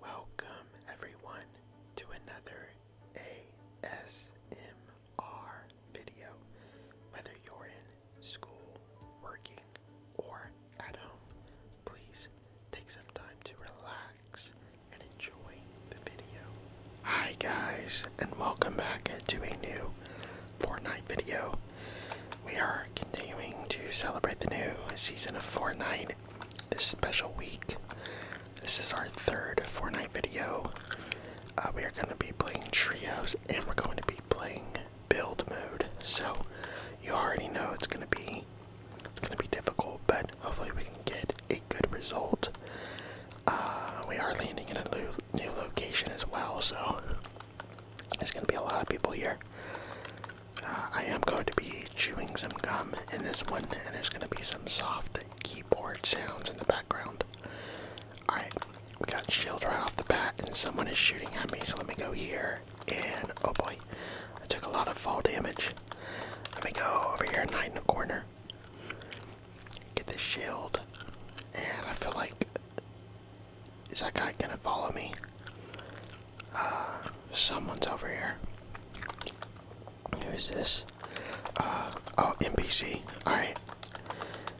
Welcome, everyone, to another ASMR video. Whether you're in school, working, or at home, please take some time to relax and enjoy the video. Hi, guys, and welcome back to a new Fortnite video. We are continuing to celebrate the new season of Fortnite this special week. This is our third Fortnite video. Uh, we are going to be playing trios and we're going to be playing build mode. So you already know it's going to be it's going to be difficult, but hopefully we can get a good result. Uh, we are landing in a new, new location as well, so there's going to be a lot of people here. I am going to be chewing some gum in this one, and there's going to be some soft keyboard sounds in the background. Alright, we got shield right off the bat, and someone is shooting at me, so let me go here. And oh boy, I took a lot of fall damage. Let me go over here and hide in the corner. Get this shield, and I feel like. Is that guy gonna follow me? Uh, someone's over here. Who's this? Uh, oh, NPC. Alright.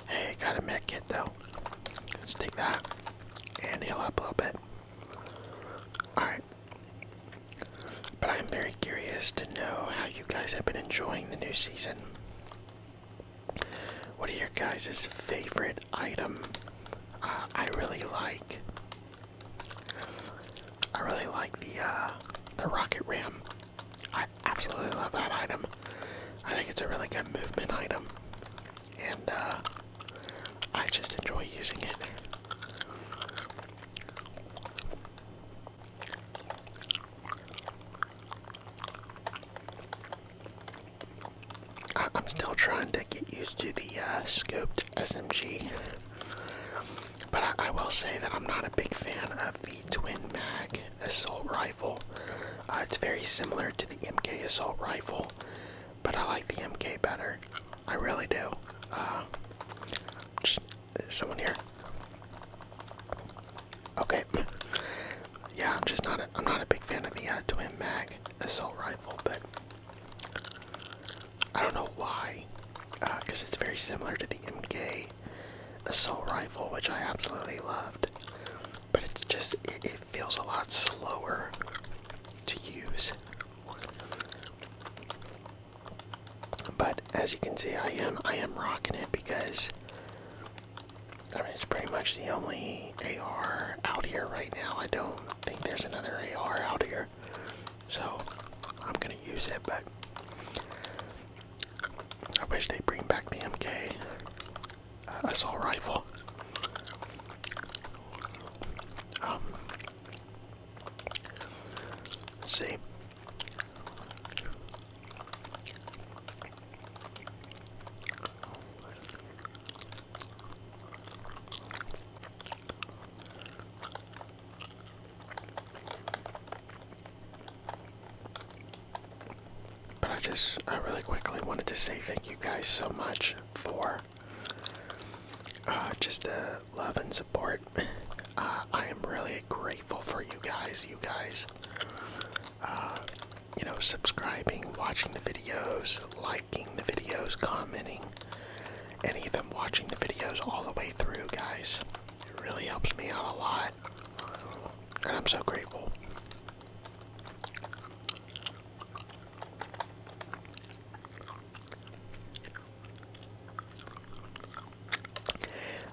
Hey, got a med kit though. Let's take that and heal up a little bit. Alright. But I'm very curious to know how you guys have been enjoying the new season. What are your guys' favorite item? Uh, I really like I really like the uh, the rocket ram. I absolutely love that item. I think it's a really good movement item, and uh, I just enjoy using it. I am still trying to get used to the uh, scoped SMG, but I, will say that I'm not a big fan of the twin mag assault rifle. Uh, it's very similar to the MK assault rifle, but I like the MK better. I really do. Uh, just uh, someone here. Okay. Yeah, I'm just not. i I'm not a big fan of the uh, twin mag assault rifle, but I don't know why, because uh, it's very similar to the MK assault rifle, which I absolutely loved. But it's just it, feels a lot slower to use. But as you can see, I am I am rocking it because I it's pretty much the only AR out here right now. I don't think there's another AR out here. So I'm gonna use it, but I wish they bring back the MK uh, assault rifle. Um, see. But I just, I really quickly wanted to say thank you guys so much for uh, just the love and support. Uh, I am really grateful for you guys. You guys uh, you know, subscribing, watching the videos, liking the videos, commenting, and even watching the videos all the way through, guys. It really helps me out a lot, and I'm so grateful.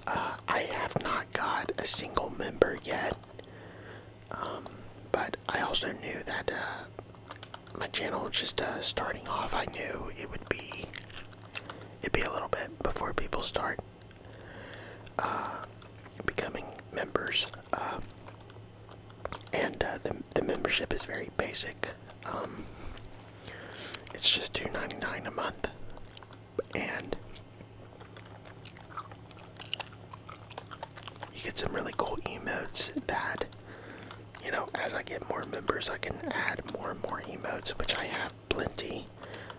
Uh, I have not got a single member yet um, but I also knew that uh, my channel just uh, starting off, I knew it would be it be a little bit before people start uh, becoming members. and the, the membership is very basic. Um, it's just $2.99 a month, and you get some really cool emotes that, you know, as I get more members, I can add more and more emotes, which I have plenty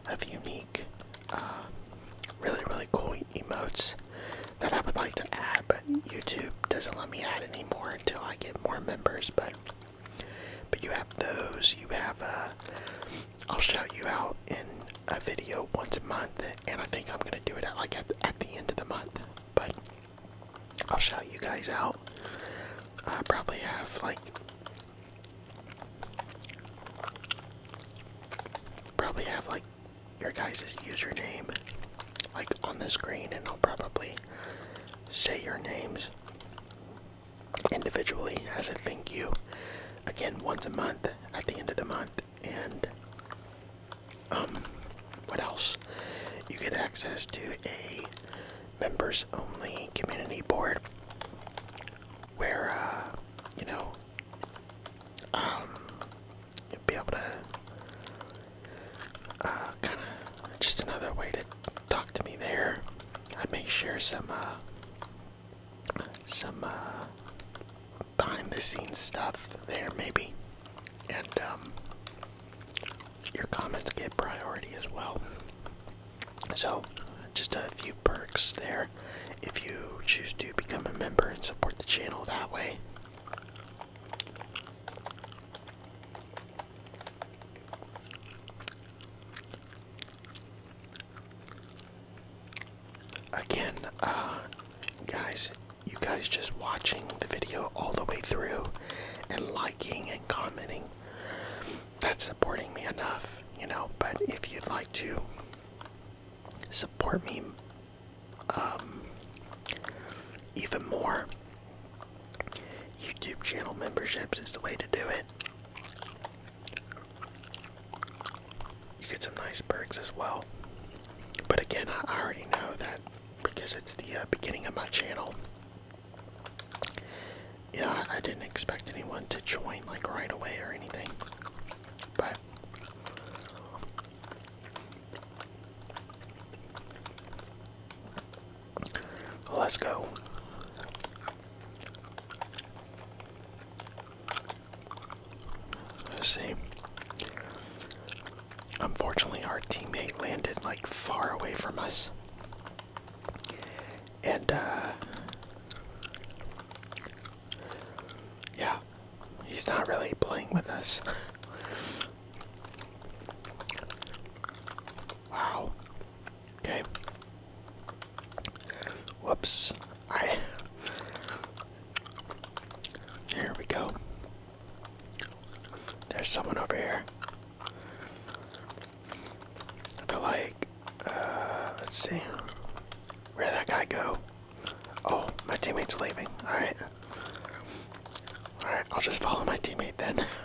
of unique, uh, really, really cool emotes that I would like to add, but YouTube doesn't let me add any more until I get more members. But but you have those. You have. a. Uh, will shout you out in a video once a month and I think I'm gonna do it at like at, the end of the month. But I'll shout you guys out. I probably have like probably have like your guys's username like on the screen, and I'll probably say your names individually as I thank you. Again, once a month at the end of the month, and um, what else? You get access to a members only community board where, uh, you know, um, you'll be able to uh, kind of just another way to talk to me there. I may share some, uh, some, uh, behind the scenes stuff there maybe and um, your comments get priority as well so just a few perks there if you choose to become a member and support the channel that way Again, uh, guys, you guys just watching the video all the way through and liking and commenting, that's supporting me enough, you know. But if you'd like to support me um, even more, YouTube channel memberships is the way to do it. You get some nice perks as well. But again, I already know that because it's the uh, beginning of my channel. You know, I, I didn't expect anyone to join like right away or anything. But let's go see. Unfortunately, our teammate landed like far away from us. And, uh, Yeah, he's not really playing with us. wow. Okay. Whoops. I Here we go. There's someone over here. I feel like uh let's see. Where that guy go? Oh, my teammate's leaving. Alright. Alright, I'll just follow my teammate then.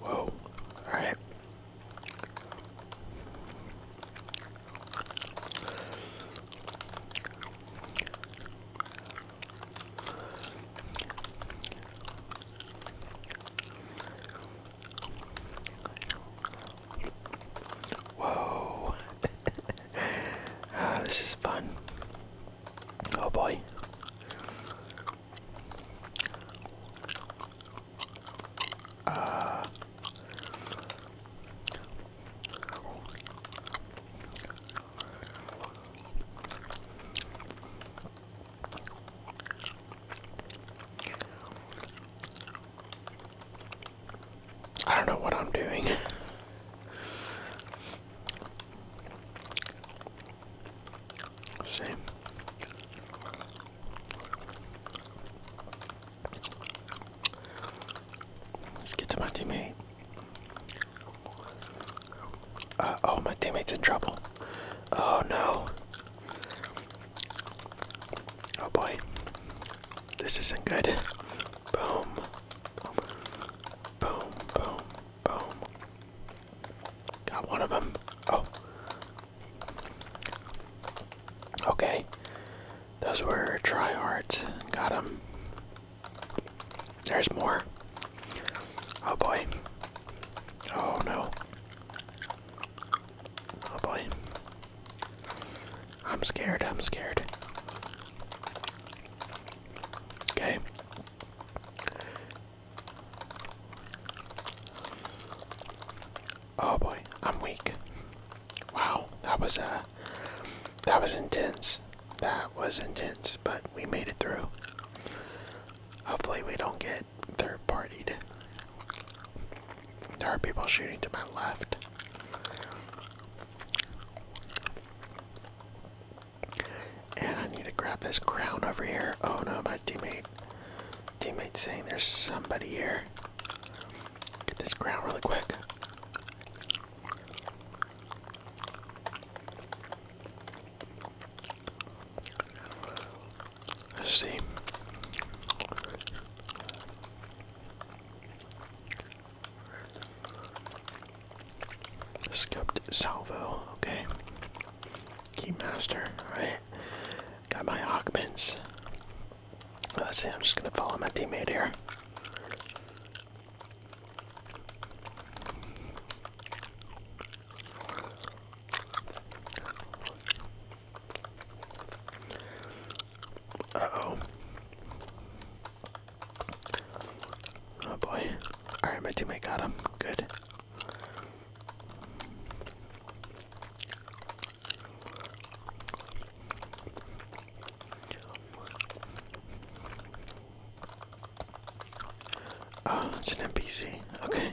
Whoa, alright. Whoa, ah, this is fun. Oh boy. Uh, I don't know what I'm doing. Same. Let's get to my teammate. Uh, oh, my teammate's in trouble. Oh no. Oh boy. This isn't good. Boom. Boom, boom, Boom. Oh. Got one of them. Oh. Okay. Those were tryhards. Got them. There's more. Oh boy. Oh no. Oh boy. I'm scared. I'm scared. Okay. Oh boy, I'm weak. Wow, that was uh that was intense. That was intense, but we made it through. Hopefully we don't get third partied. There are people shooting to my left. And I need to grab this crown over here. Oh no, my teammate. Teammate, saying there's somebody here. Get this crown really quick. see. Skipped salvo, okay. Keymaster, alright. Got my augments. Let's see, I'm just gonna follow my teammate here. oh. Oh boy. Alright, my teammate got him. Good. Oh, it's an NPC. Okay.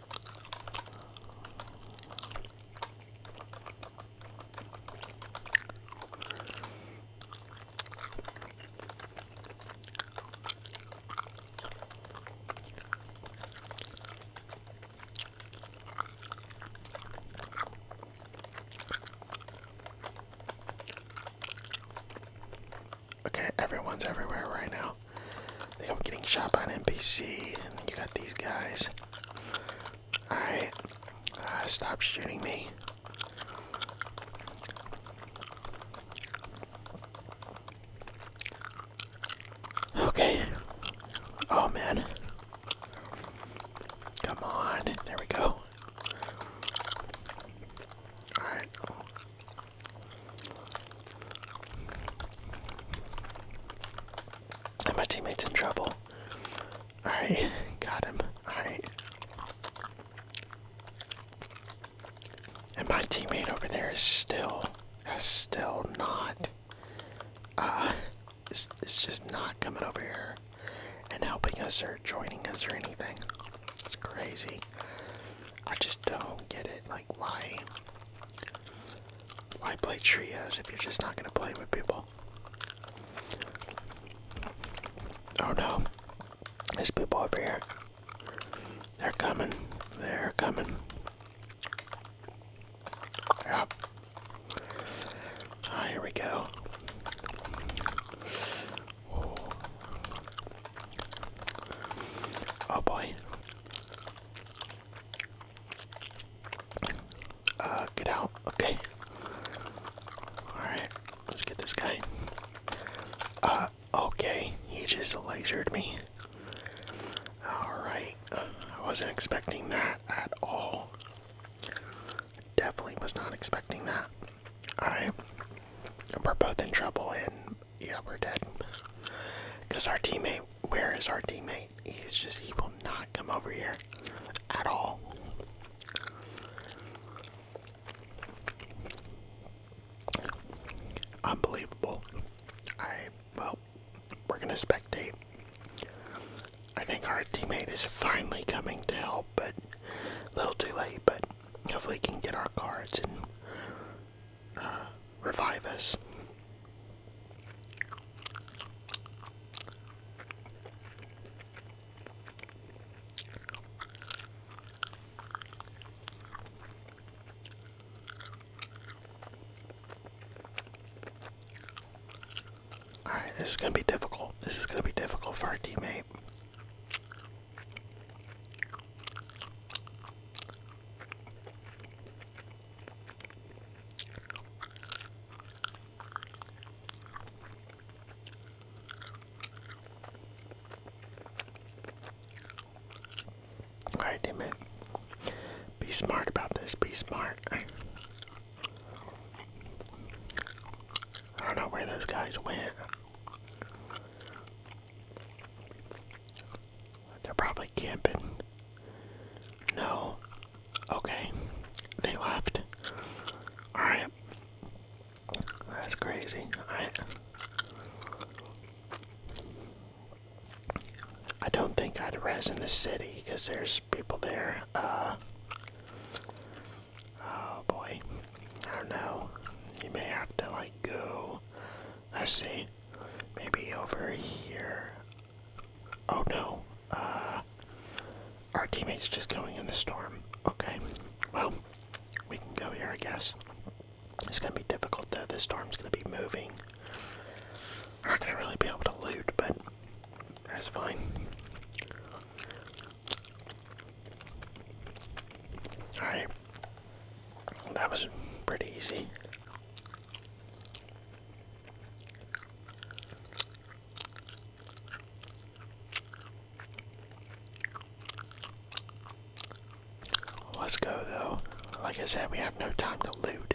Okay, everyone's everywhere right now. I'm getting shot by an NPC, and then you got these guys. Alright, uh, stop shooting me. Okay. Oh man. Come on. There we go. Alright. And my teammate's in trouble. Alright, got him. Alright. And my teammate over there is still, is still not, uh, it's, it's just not coming over here and helping us or joining us or anything. It's crazy. I just don't get it. Like, why? Why play trios if you're just not gonna play with people? Oh no. There's people over here. They're coming. They're coming. Yep. Ah, here we go. oh, oh boy. Uh, get out. Okay. Alright, let's get this guy. Uh, okay. He just lasered me. Alright. I wasn't expecting that at all. Definitely was not expecting that. I we're both in trouble and yeah, we're dead. Because our teammate, where is our teammate? He's just, he will not come over here at all. Unbelievable. Alright, well, we're gonna spectate. I think our teammate is finally coming to help, but a little too late, but hopefully he can get our cards and uh, revive us. Alright, this is going to be difficult. This is going to be difficult for our teammate. All right, damn it. Be smart about this. Be smart. I don't know where those guys went. They're probably camping. No. Okay. They left. Alright. That's crazy. I I don't think I'd res in the city because there's people there. Uh oh boy. I don't know. You may have to like go I see. Maybe over here. Oh no. Uh, our teammate's just going in the storm. Okay. Well, we can go here, I guess. It's gonna be difficult though. This storm's gonna be moving. We're not gonna really be able to loot, but that's fine. Alright. That was pretty easy. Let's go though. Like I said, we have no time to loot.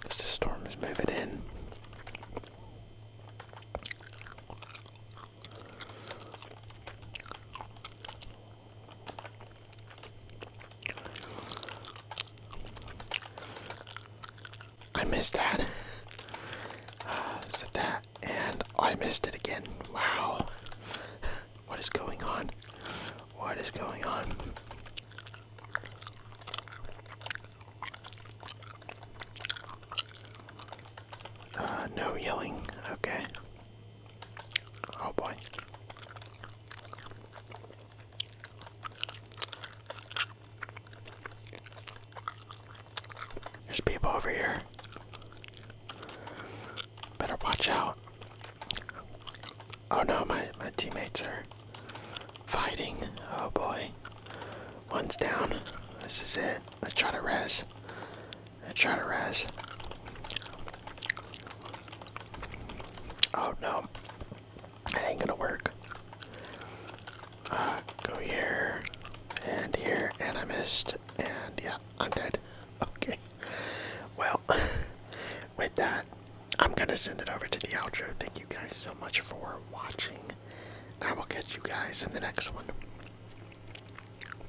Because the storm is moving in. I missed that. uh, said that, and I missed it again. Wow. what is going on? What is going on? Uh, no yelling. Okay. Oh boy. There's people over here. Better watch out. Oh no, my, my teammates are fighting. Oh boy. One's down. This is it. Let's try to res. I try to res. Oh no. It ain't gonna work. Uh, go here, and here, and I missed, and yeah, I'm dead. Okay. Well, with that, I'm gonna send it over to the outro. Thank you guys so much for watching. I will catch you guys in the next one.